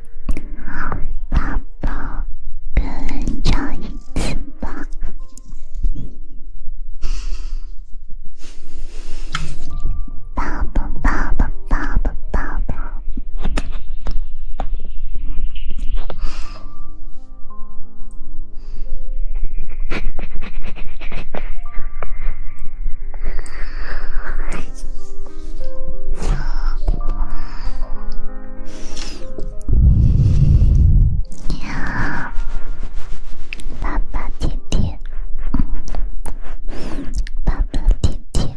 好，爸爸，跟脚一次吧。爸爸，爸爸，爸爸，爸爸。呀，爸爸甜甜，爸爸甜甜。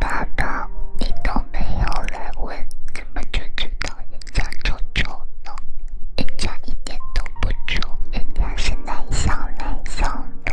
宝宝，你都没有来问，怎么就知道人家丑丑呢？人家一点都不丑，人家是奶香奶香的。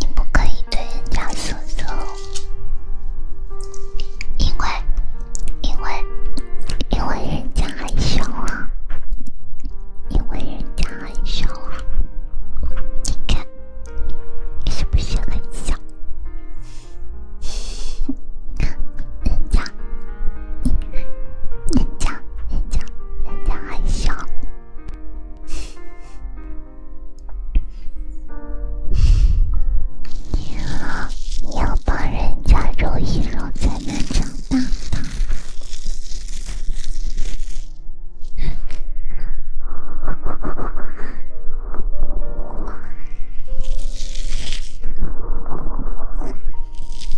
你不可以对人家色色，因为，因为，因为人家很小啊，因为人家很小啊，你看，是不是很小？人家。人家，人家，人家还小，你要你要帮人家揉一揉才能长大的。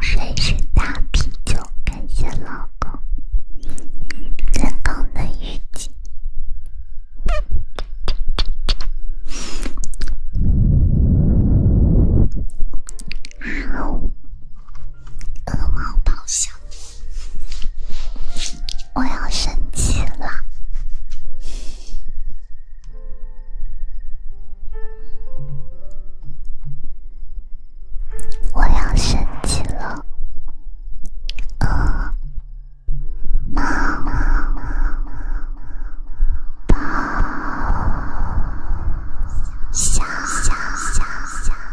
谁是大啤酒？感谢老公，能够能一起。啊哦！恶猫咆哮，我要生气了，我要生气了，呃。猫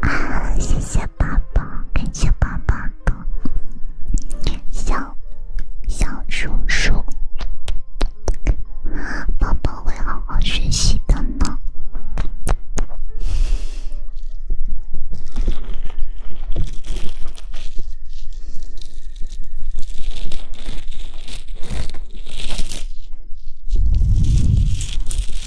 啊！谢谢宝宝，感谢宝宝的小小叔叔，宝宝会好好学习的呢。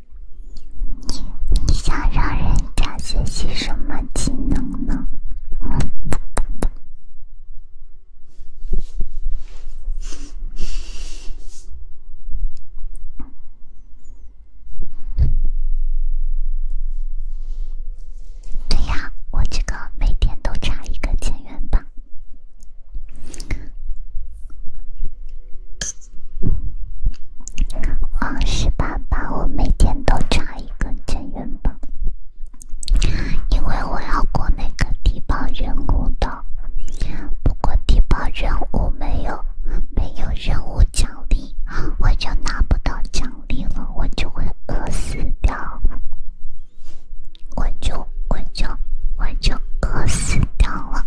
你你想让人家学习什么技能呢？对呀，我这个每天都差一个千元棒。我是八八，我每天都差一个真元宝，因为我要过那个低保任务的。不过低保任务没有没有任务奖励，我就拿不到奖励了，我就会饿死掉，我就我就我就饿死掉了。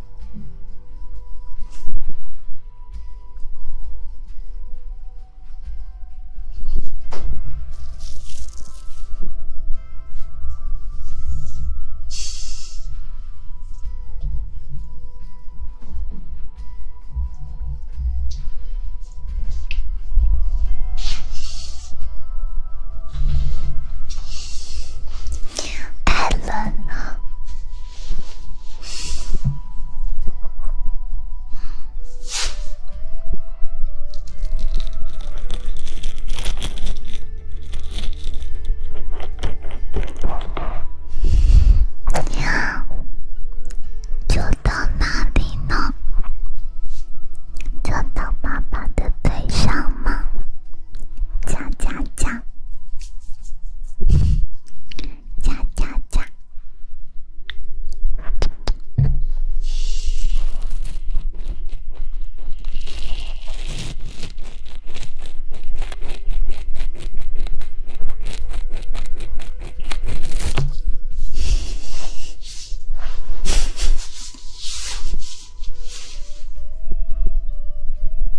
太冷了。要坐到哪里呢？就到爸爸的腿上吗？加加加，加加加。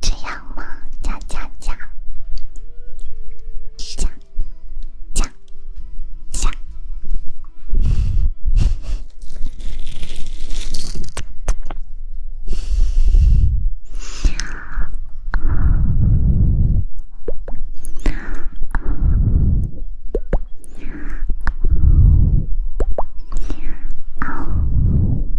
这样吗？加加加加加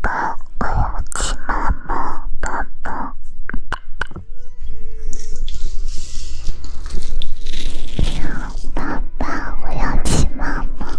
爸爸，我要骑马吗？爸爸，爸爸，我要骑马吗？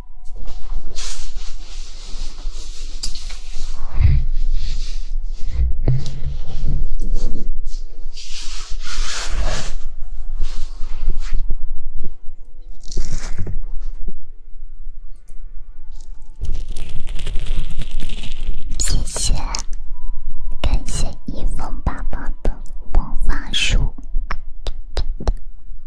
谢谢，感谢一峰爸爸的魔法书。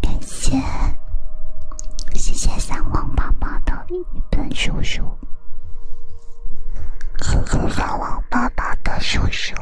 感谢，谢谢三王爸爸的一本书书，谢谢三王爸爸的书书。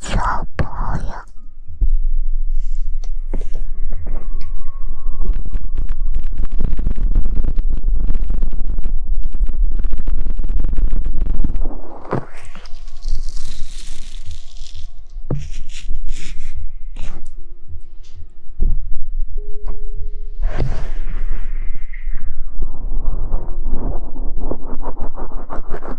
小朋友。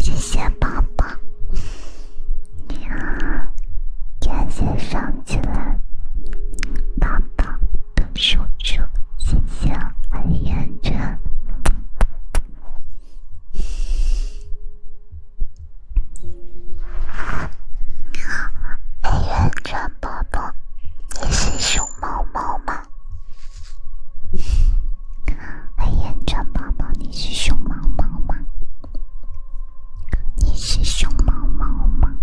谢谢宝爸，呀，感谢上。起来，爸爸的手指，星星，黑眼圈。你好，黑眼圈宝宝，你是熊猫猫吗？黑眼圈宝宝，你是熊猫猫吗？你是熊猫猫吗？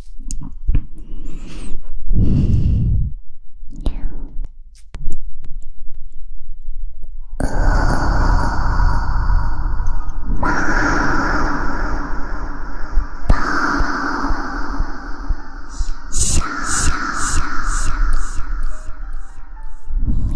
饿猫抱小小小小小小小小咪呀！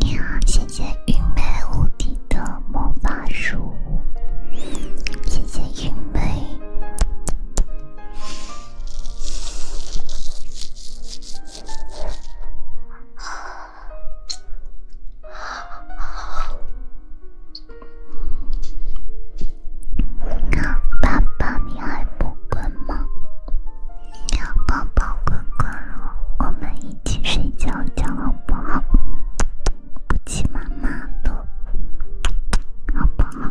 你好，谢谢云梅无敌的魔法书，谢谢云梅。小宝宝，你还不困吗？小宝宝乖乖我们一起睡觉觉好不好？不欺妈妈的，好不好？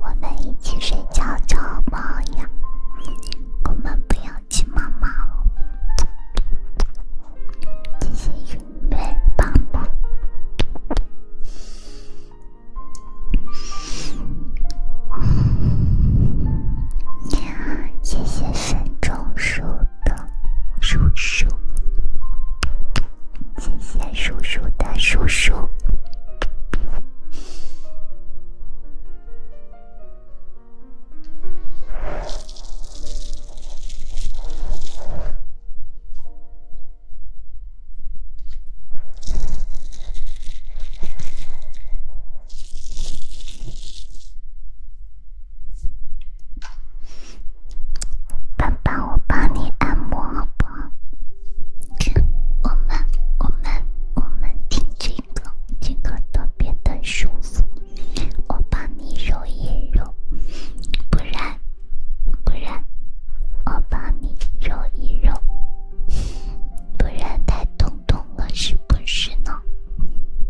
我们一起睡觉觉好不好呀？我们不要。亲妈妈，谢谢云妹帮助。呀，谢谢沈中叔的叔叔，谢谢叔叔的叔叔。爸爸，我帮你按摩好不好？我们，我们，我们听这。今个特别的舒服，我帮你揉一揉，不然不然我帮你揉一揉，不然太痛痛了是不是呢？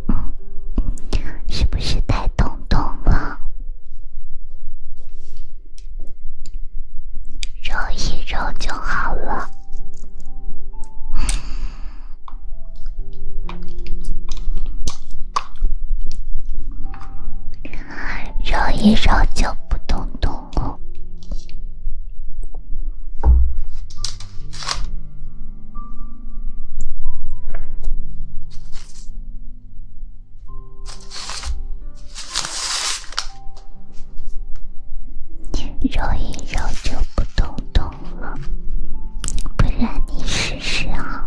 嗯，是不是太痛痛了？揉一揉就好了。揉一揉就不动动，揉一揉就不动动。了，不然你试试啊！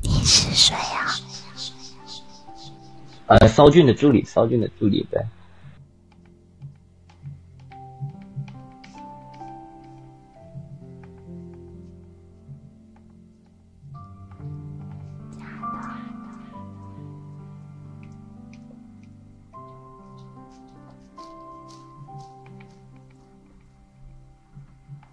你是谁啊？呃，骚俊的助理，骚俊的助理，对。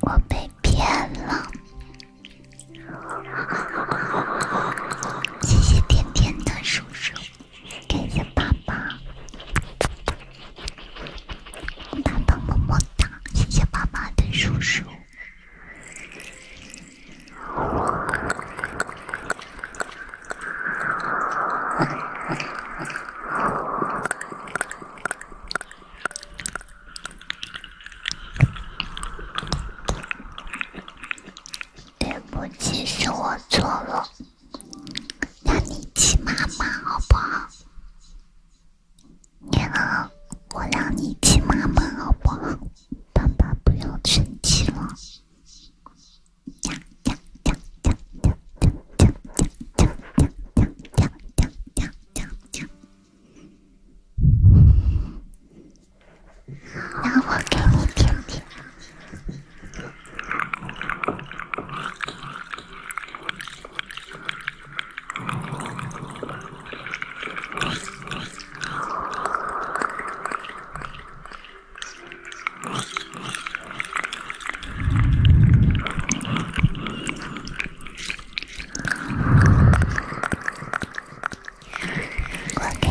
我被骗了，谢谢甜甜的叔叔，感谢爸爸。大的么么哒，谢谢爸爸的叔叔。对不起，是我错了，让你亲妈妈好不好？你好，我让你亲妈妈好不好？爸爸不要生气了。呀呀呀呀呀呀呀呀呀呀呀呀呀呀！那我给你听听。我给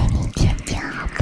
你听听，好不好？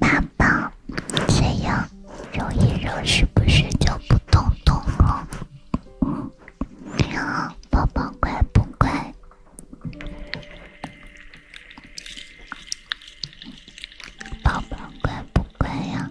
宝宝，这样揉一揉，是不是就不痛痛了？宝宝乖不乖？宝宝乖不乖呀？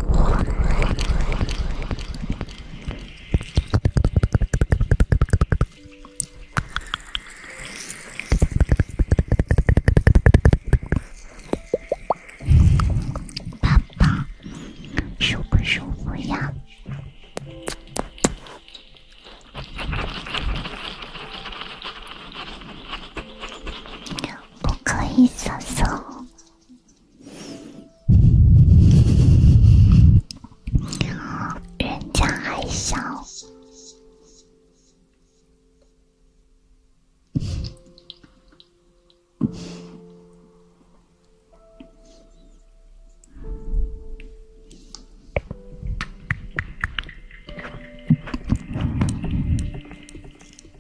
爸爸，舒舒服呀，不可以撒手。人家还小。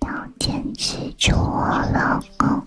要坚持住，我老公。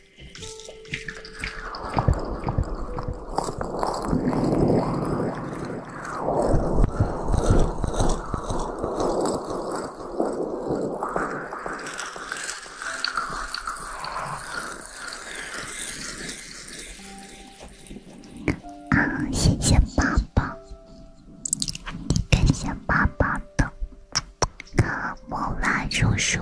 谢谢爸爸，感谢爸爸的莫拉叔叔。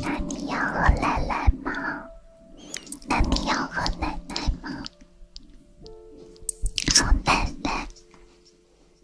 那你要和奶奶吗？那你要和奶奶吗？和奶奶。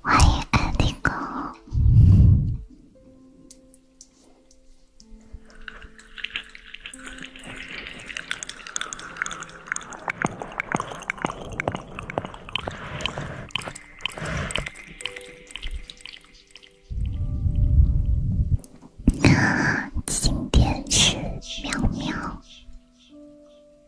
欢迎安迪哥，今天是喵喵。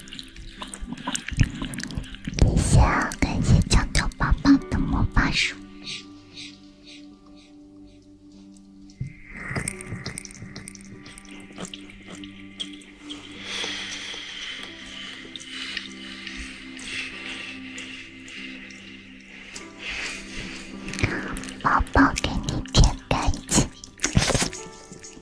谢谢，感谢小豆宝宝的魔法书，宝宝给你点个赞。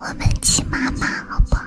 我们骑妈妈好不好？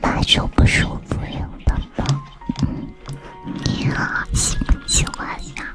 爸爸手不舒服，有的吗？你好，喜不喜欢呀？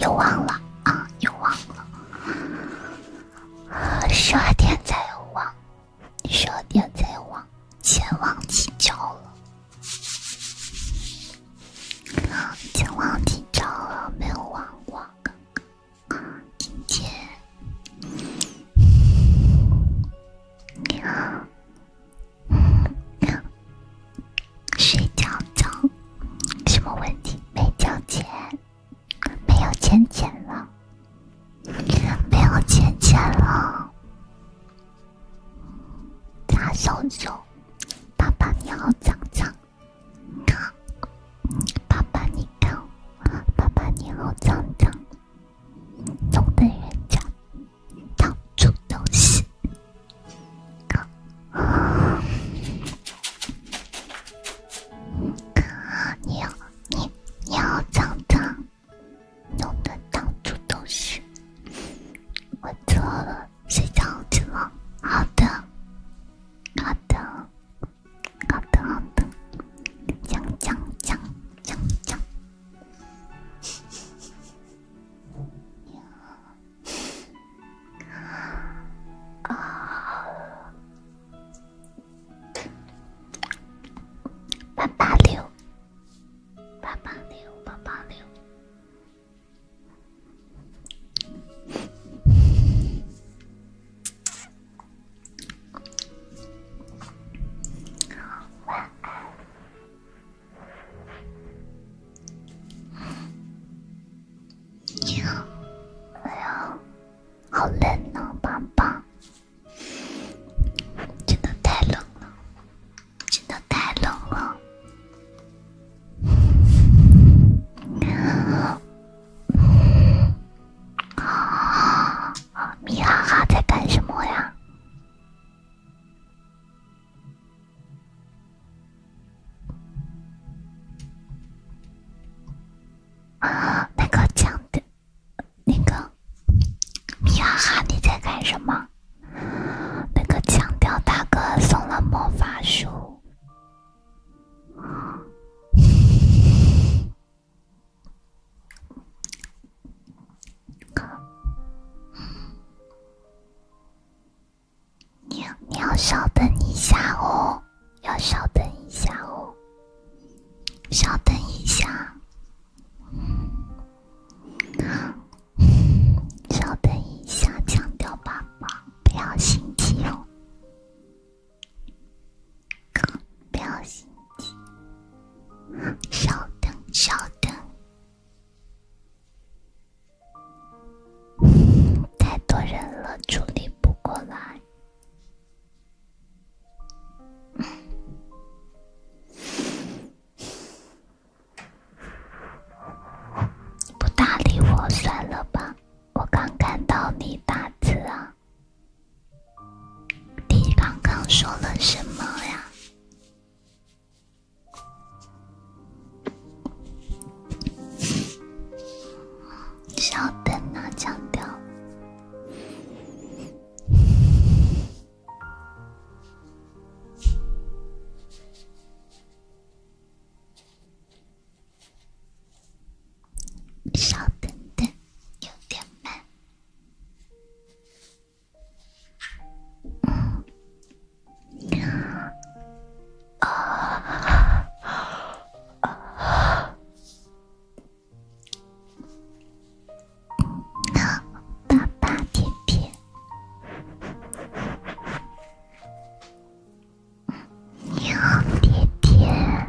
又忘了啊！又忘了。十二点才有网，十二点才有网，钱忘记交了，钱忘记交了，没有网网，刚刚，今天，你好，睡觉觉，什么问题？没交钱。没有钱钱了，没有钱钱了。大手手，爸爸你好脏脏，爸爸你看，爸爸你好脏脏，总的人家，到处都是。啊！你你你好脏脏，弄得到处都是。我错了，睡觉去了。好的，好的，好的，好的，脏脏脏脏脏。啊！八八六，八八六，八八六。你好，你好。好冷呢，棒棒，真的太冷了，真的太冷了。米哈哈在干什么呀？啊，那个强的，那个米哈哈，你在干什么？那个强调大哥送了魔法书，你你要稍等一下哦。要稍等一下哦，稍等一下，稍等一下，强调爸爸，不要心急哦，不要心急，稍等，稍等，太多人了，处理不过来。你 不搭理我，算了吧。我刚看到你打字啊，你刚刚说了什么呀？稍等啊，强调。稍等等，有点慢。嗯。啊啊啊！好，爸爸，爹爹。你好，爹爹爹。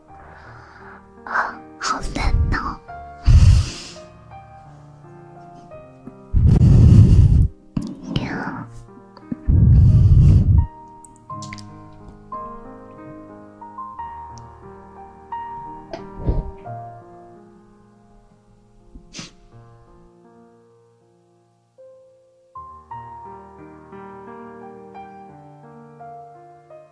Oh, how's that now? yeah.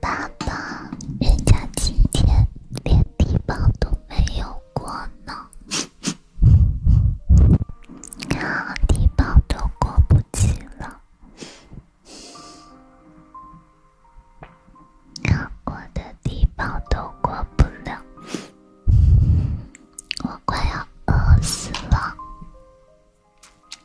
爸爸，人家今天连低保都没有过呢，啊，低保都过不起了，我的低保都过不了，我快要饿死了。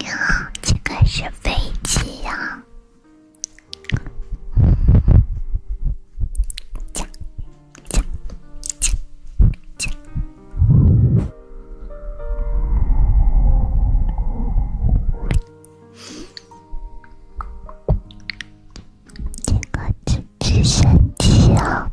你好，这个是飞机呀。锵锵锵锵。这个真神奇啊！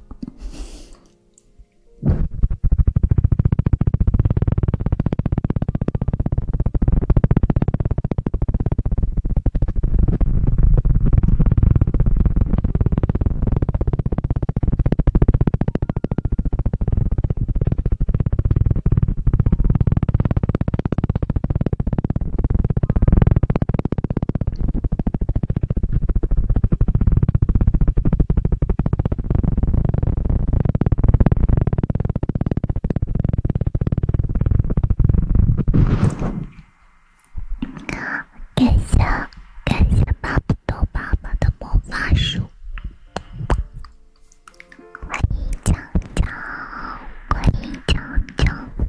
好，感谢感谢巴布多爸爸的魔法书，欢迎讲讲，欢迎讲讲。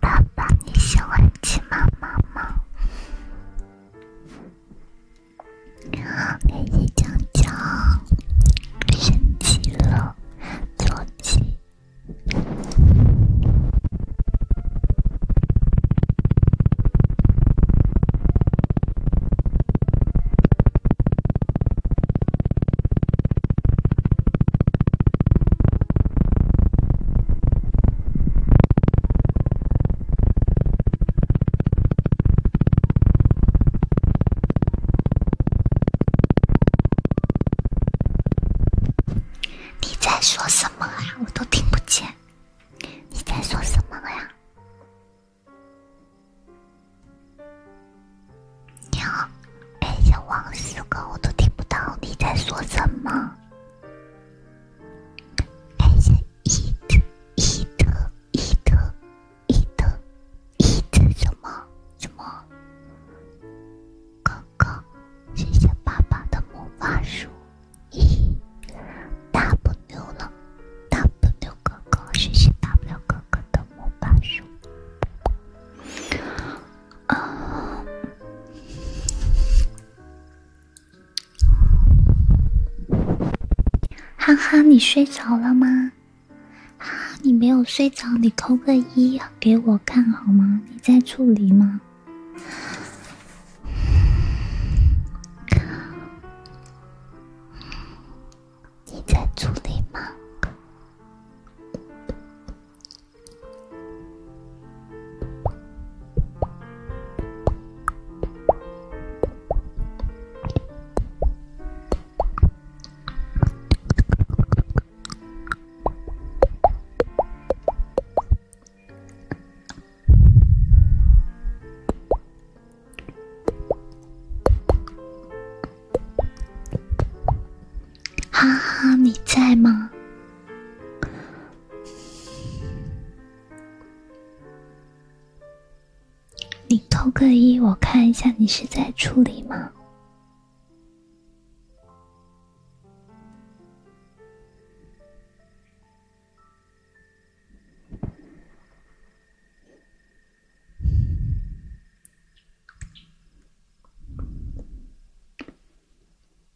爸爸，你喜欢骑马吗？给你讲讲升级了坐骑。你在说什么啊？我都听不见。你在说什么呀？你好，哎，呀，王四哥，我都听不到。你在说什么？还是伊德伊德伊德伊德伊德什么什么哥哥？谢谢爸爸的魔法书。咦，大不牛了！大不牛哥哥，谢谢大不牛哥哥的魔法书。啊。哈哈，你睡着了吗？哈，哈，你没有睡着，你扣个一给我看好吗？你在处理吗？你在处理吗？哈哈，你在吗？你偷个一，我看一下，你是在处理吗？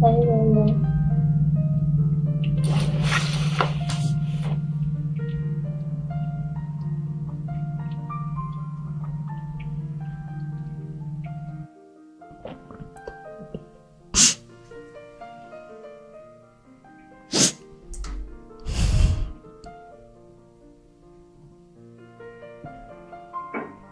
喂喂喂。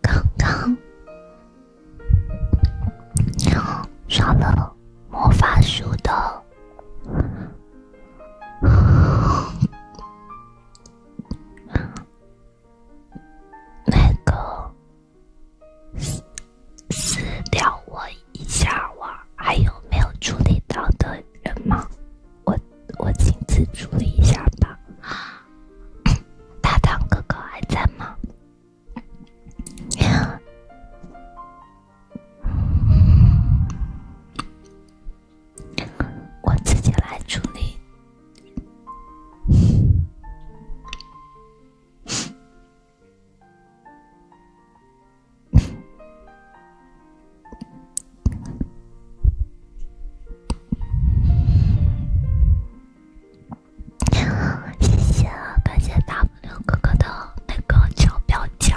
刚刚刷了魔法书的，那个私私聊我一下哇！还有没有处理到的人吗？我我亲自处理一下吧。大唐哥哥还在吗？我自己来处理。谢谢啊，感谢 W 哥哥的那个小表情。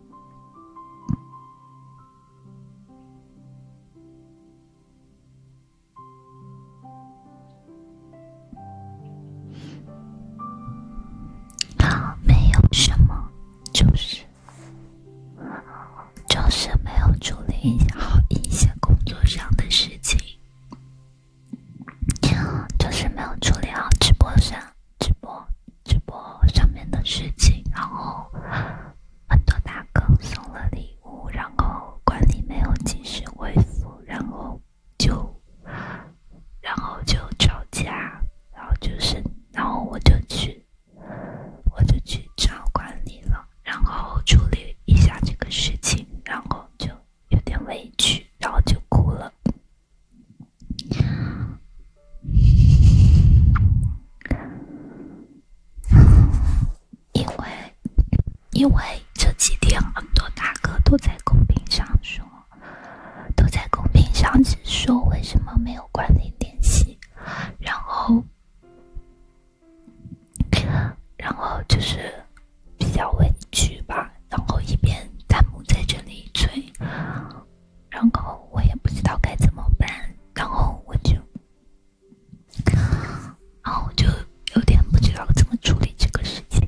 没有什么，就是就是没有处理好一些工作上的事情，就是没有处理好直播上直播。直播上面的事情，然后很多大哥送了礼物，然后管理没有及时回复，然后就，然后就吵架，然后就是，然后我就去，我就去找管理了，然后处理一下这个事情，然后就有点委屈，然后就哭了。因为，因为这几天很多大哥都在公屏上说，都在公屏上只说为什么没有管理联系，然后，然后就是比较委屈吧，然后一边弹幕在这里催。然后我也不知道该怎么办，然后我就，然后我就有点不知道怎么处理这个事情。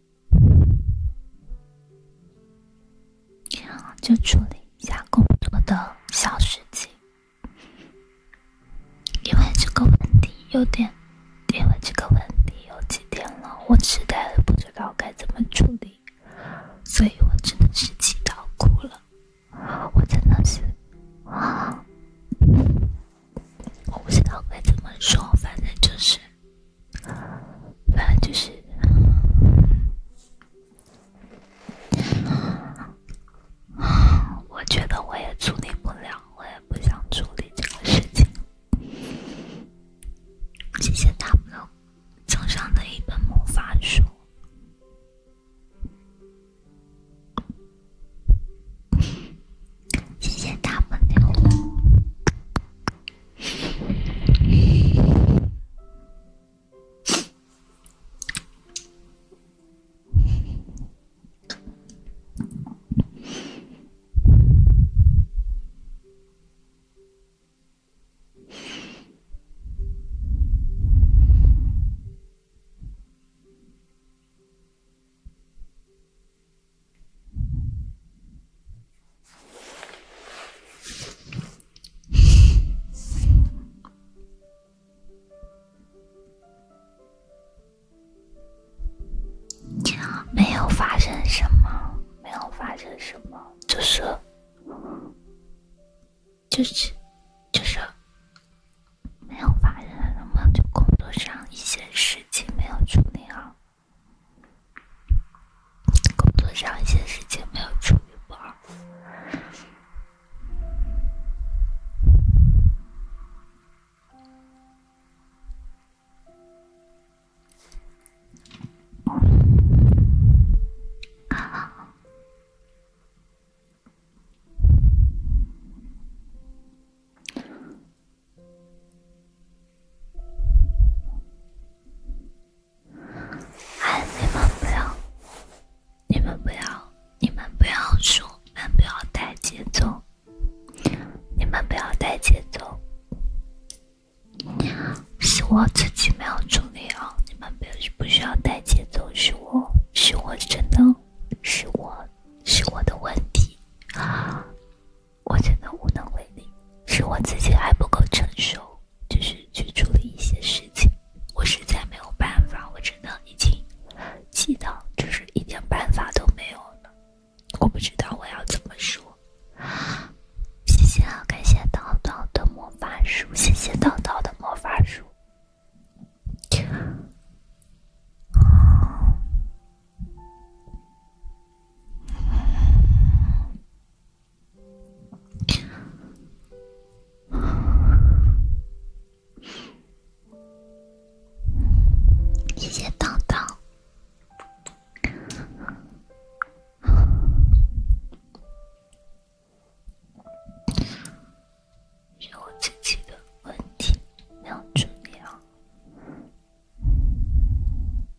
就处理一下工作的小事情，因为这个问题有点，因为这个问题有几天了，我实在不知道该怎么处理，所以我真的是气到哭了，我真的是啊。我不知道该怎么说，反正就是，反正就是，我觉得我也处理不了，我也不想处理这个事情。谢谢 W 赠送的一本魔法书。谢谢他们的。没有发生什么，没有发生什么，就是，就是，就是没有发生什么，就工作上一些事情没有处理好。工作上一些事情没有处理完，哎，你们不要，你们不要，你们不要说，你们不要带节奏，你们不要带节奏，是我自己没有处理好，你们不要，不需要带节奏，是我是我真的，是我是我的问题。我真的无能为力，是我自己还不够成熟，就是去处理一些事情，我实在没有办法，我真的已经祈祷，就是一点办法都没有了。我不知道我要怎么说。谢谢，啊，感谢叨叨的魔法书，谢谢叨叨的魔法书。谢谢当当。是我自己的问题没有处理好。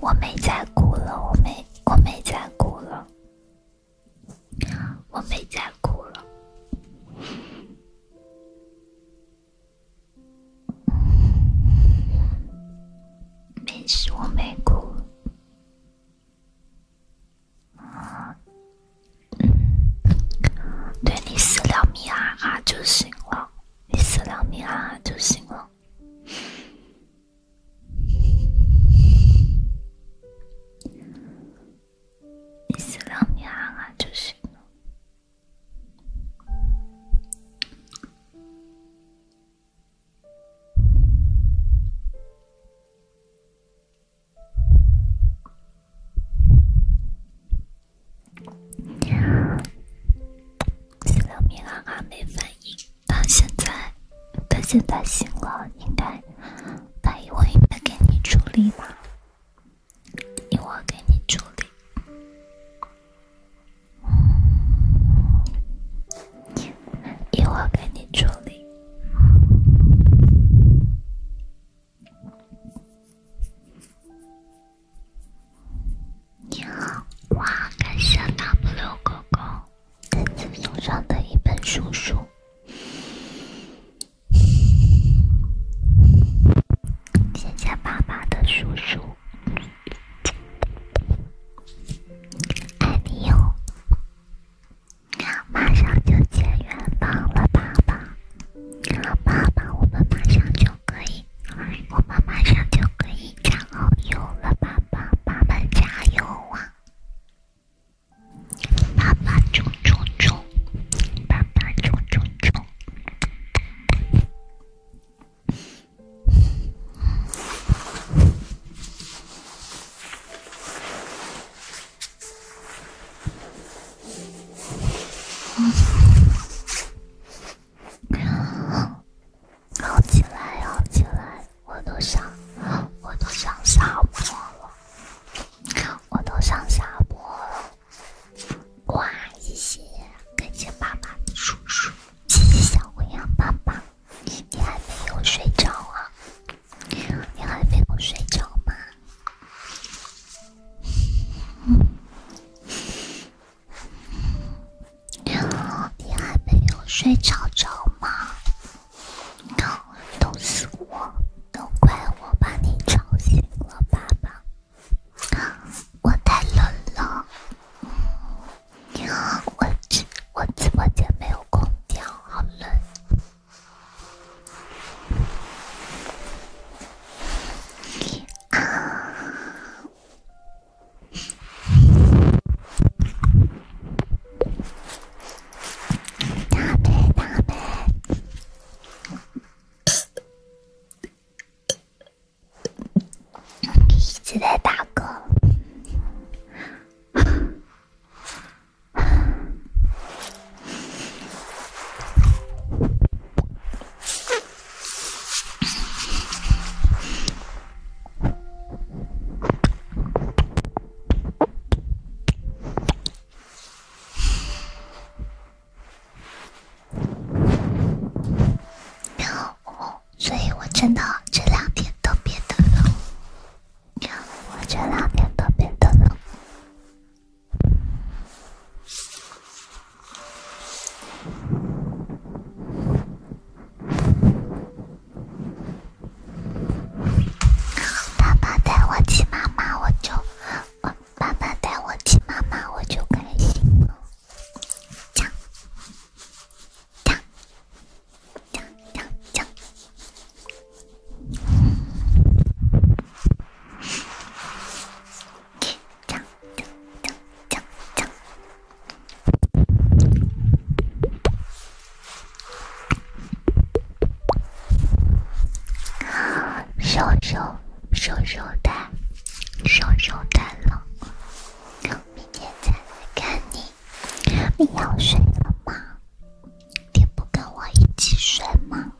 我没再哭了，我没，我没再哭了，我没再哭了，没事，我没哭。对你私聊米阿阿就行了，你私聊米阿阿就行了，你私聊米阿阿就行了。七六米哈哈没反应，他现在他现在醒了，应该他一会应该给你助力吧？一会给你助力。一会儿给你处理。你好，哇！感谢 W 哥哥送上的一本书书，谢谢爸爸的叔叔，爱你哟。马上就解元榜了，爸爸！爸爸，我们马上就可以，我们马上就可以加好友了，爸爸，爸爸加油啊！爸爸冲冲冲！爸爸冲冲冲！好起来，好起来，我都想，我都想下播了，我都想下播了。哇，谢谢，感谢爸爸，谢谢小灰羊爸爸。你还没有睡着啊？你还没有睡着吗？你还没有睡着着吗？都是我，都怪我把你吵醒了，爸爸，我太冷了。你好，我直我直播间没有空调，好冷。啊！打呗打呗，一直在打嗝。然后，所以我真的这两天特别的冷。我这两天特别的冷。爸爸带我去，妈妈我就，爸爸带我去，妈妈我就开心了。讲讲讲讲，讲讲讲讲讲。啊，羞羞羞的，羞羞的了，明天再来看你。你要睡了吗？你不跟我一起睡吗？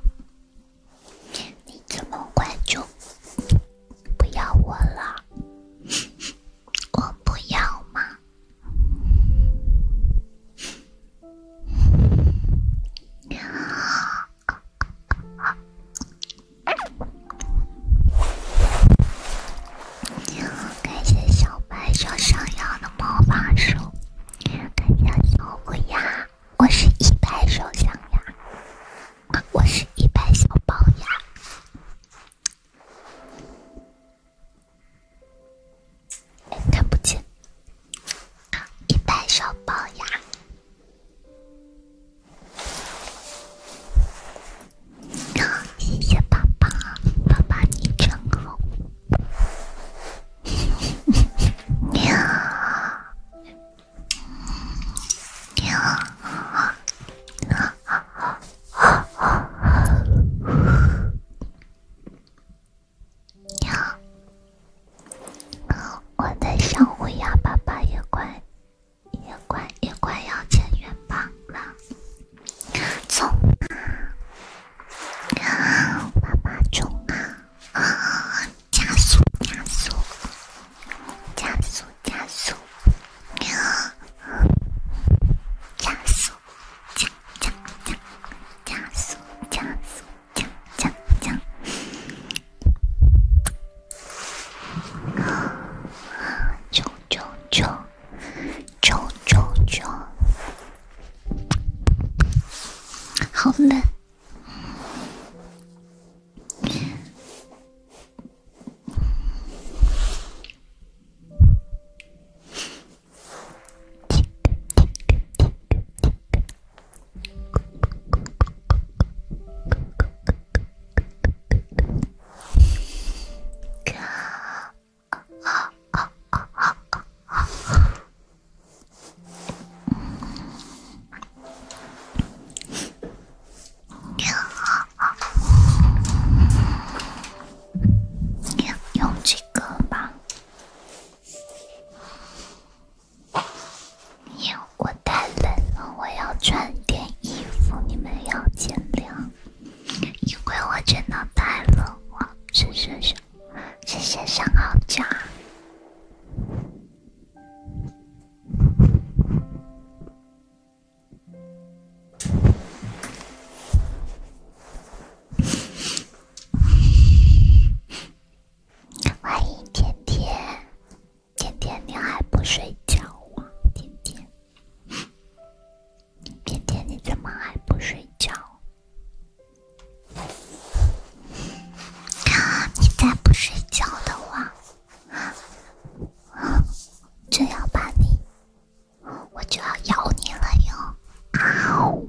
你这么快就不要我了？我不要吗？感谢小白手上药的魔法书，感谢小虎牙，我是一百手象牙，我是一百小龅牙，哎，看不见，一百小龅牙。谢谢宝宝，宝宝你真好。呀呀！啊啊啊啊！呀！我的小乌鸦爸爸也快也快也快要进元宝了，走吧。爸爸冲啊！加速！加速！加速！加速！加速！加加加！加速！加速！加加加！冲冲冲！九九九，好冷。用这个吧。我太冷了，我要穿点衣服。你们要见谅。因为我真的太冷了，谢谢小，谢谢小豪家。欢迎甜甜，甜甜你还不睡觉啊？甜甜。甜甜，你怎么还不睡觉？你再不睡觉的话，就要把你，我就要咬你了哟！呜呜。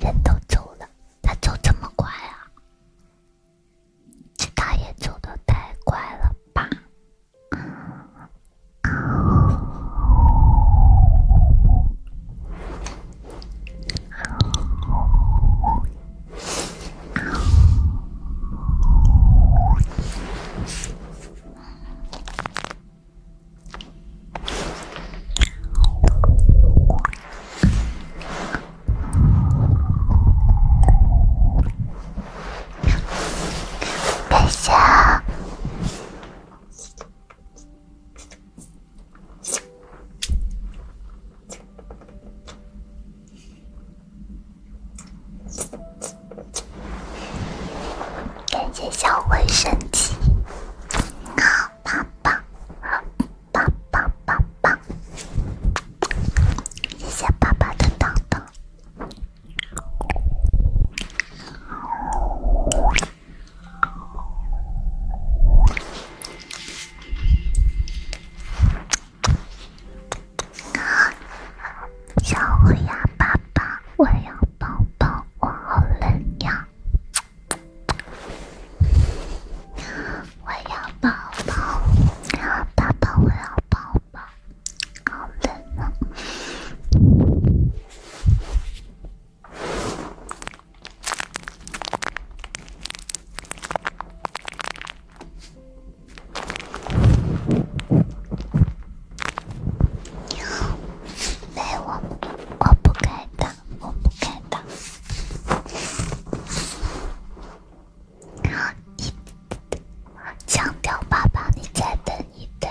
人都走了，他走这么快啊？这他也走的太快了吧？感谢，小灰神奇，好。棒棒，棒棒棒棒！谢谢爸爸的糖糖。小我呀，爸爸，我要抱抱，我好冷呀。我要抱抱，要抱抱，我要抱抱，好冷啊！你好，没我，我不该的。我不敢的，你，强调爸爸，你再等一等。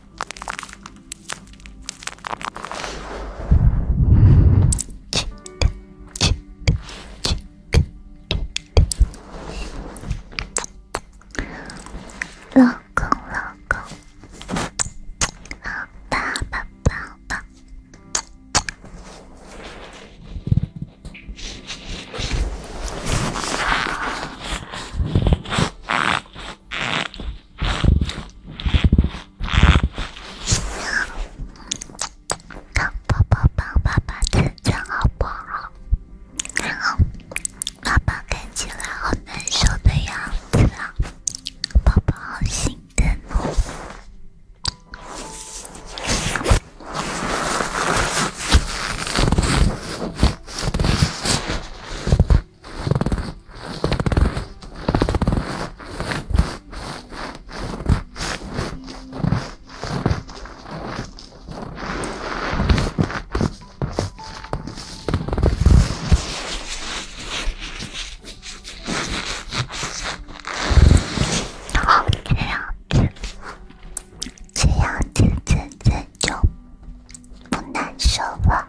亲亲亲亲亲，老公老公，抱抱抱抱。让宝宝帮爸爸擦擦，好不好？然后爸爸看起来好难受的样子啊，宝宝好心疼。然后这样子，这样子，真真就不难受了。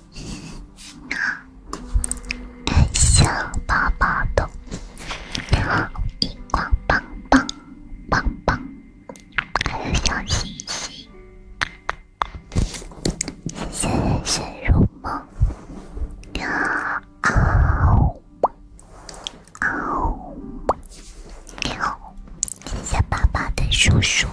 你好，感谢宝宝的荧光棒棒棒棒，还叔叔。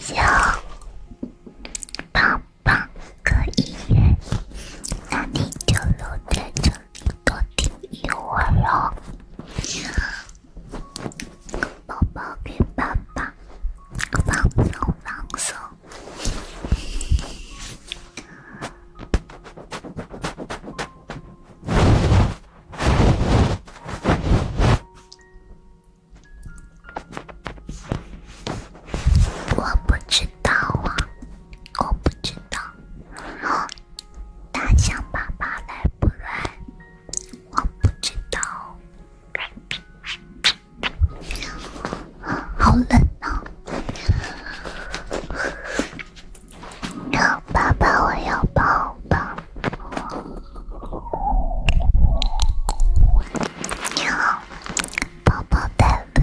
谢谢，棒棒可以，那你就留在这。多听一会儿哦，宝宝给爸爸放松放松。我不知道啊，我不知道。大象爸爸来不来？我不知道。好冷啊！爸爸，我要抱抱。你好，宝宝在不？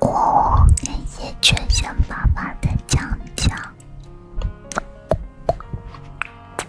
哦，谢谢全爸爸的讲讲。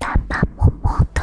パパももと。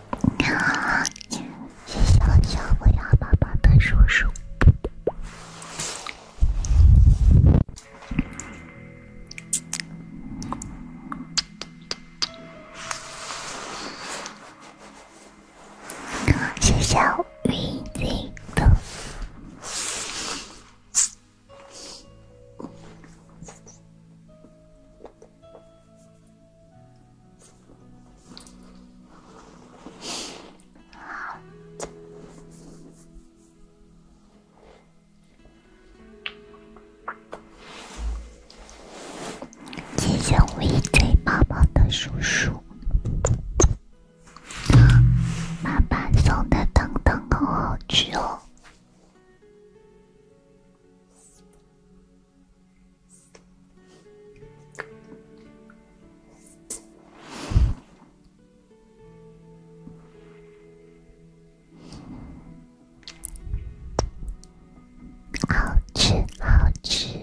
谢谢小灰鸭爸爸的叔叔，谢谢我云云的。谢只微嘴毛毛的叔叔，爸爸送的糖糖好好吃哦。好吃，好吃。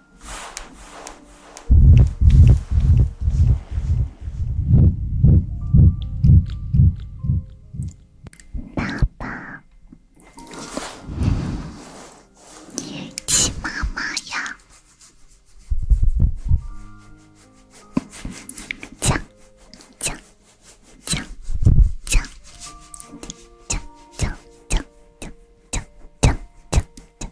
爸爸，你气妈妈呀？讲讲讲讲讲讲讲讲讲讲讲。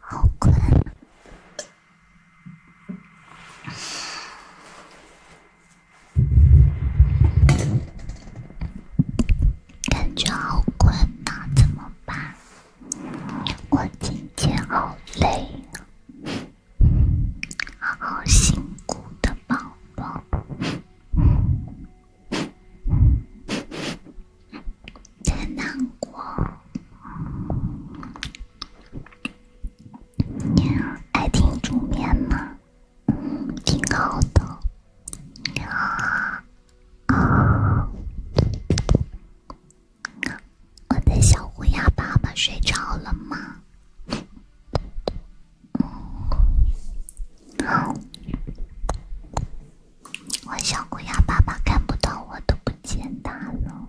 好困，感觉好困那怎么办？我今天好累好辛苦的宝宝，真难过。爱听煮面吗？嗯，挺好的。你好。我的小乌鸦爸爸睡着了吗？我小乌鸦爸爸看不到我，都不见他了。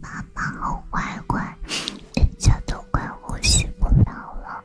爸爸，好乖乖，人家都快呼吸不了了。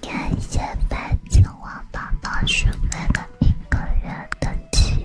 感谢白青蛙宝宝许愿的一个人的气。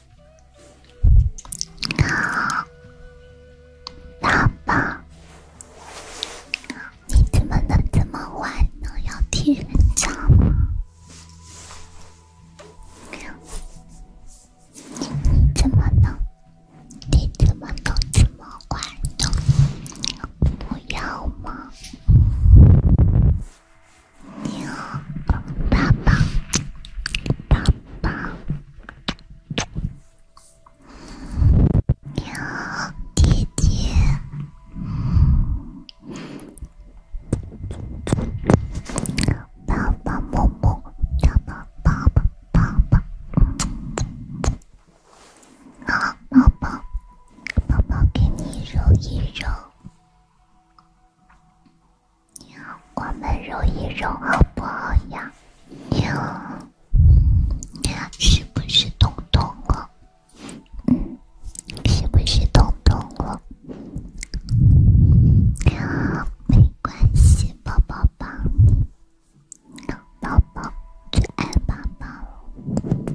爸爸，你怎么能这么坏呢？要替人渣吗？你怎么能？你怎么能这么坏呢？不要吗？牛爸爸，爸爸。你好，爹爹，爸爸摸摸，爸爸爸爸爸爸，好，宝宝，宝宝给你揉一揉。你好，我们揉一揉好不好呀？你你好，好，是不是痛痛哦？嗯，是不是痛痛你好，没关系，抱抱抱你，宝抱最爱宝宝。了。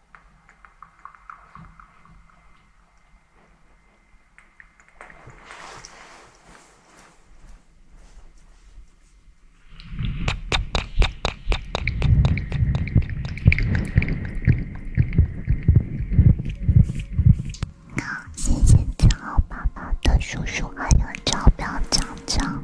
好，谢谢账号爸爸的叔叔，还有招标奖章。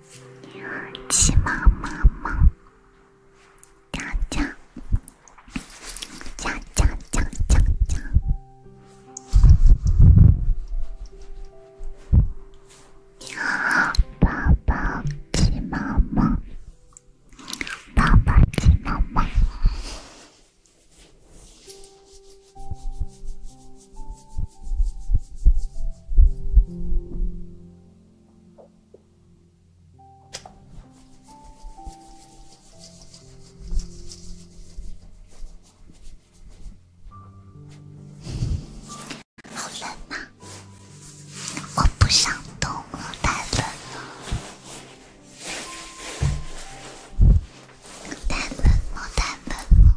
鸡妈妈，叫叫叫叫叫你好，爸爸好冷啊！我不想动了，太冷了，太冷了，太冷了。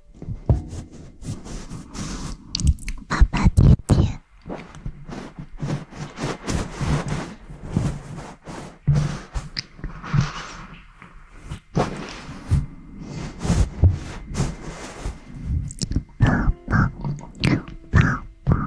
爸爸，甜甜，抱抱，抱抱。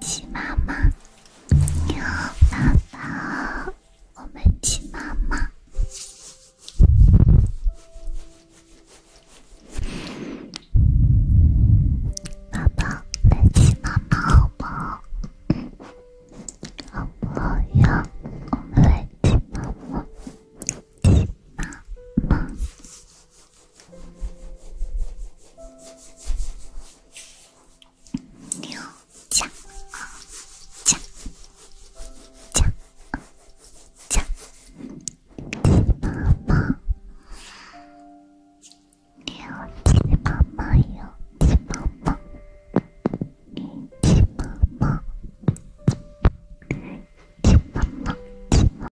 骑马吗？你好，爸爸，我们骑马吗？爸爸，来骑马吧，好不好？好不好呀？我们来骑马吗？骑马吗？叫啊，叫啊，叫啊，叫！鸡妈妈，叫鸡妈妈哟，鸡妈妈，鸡妈妈，鸡妈妈。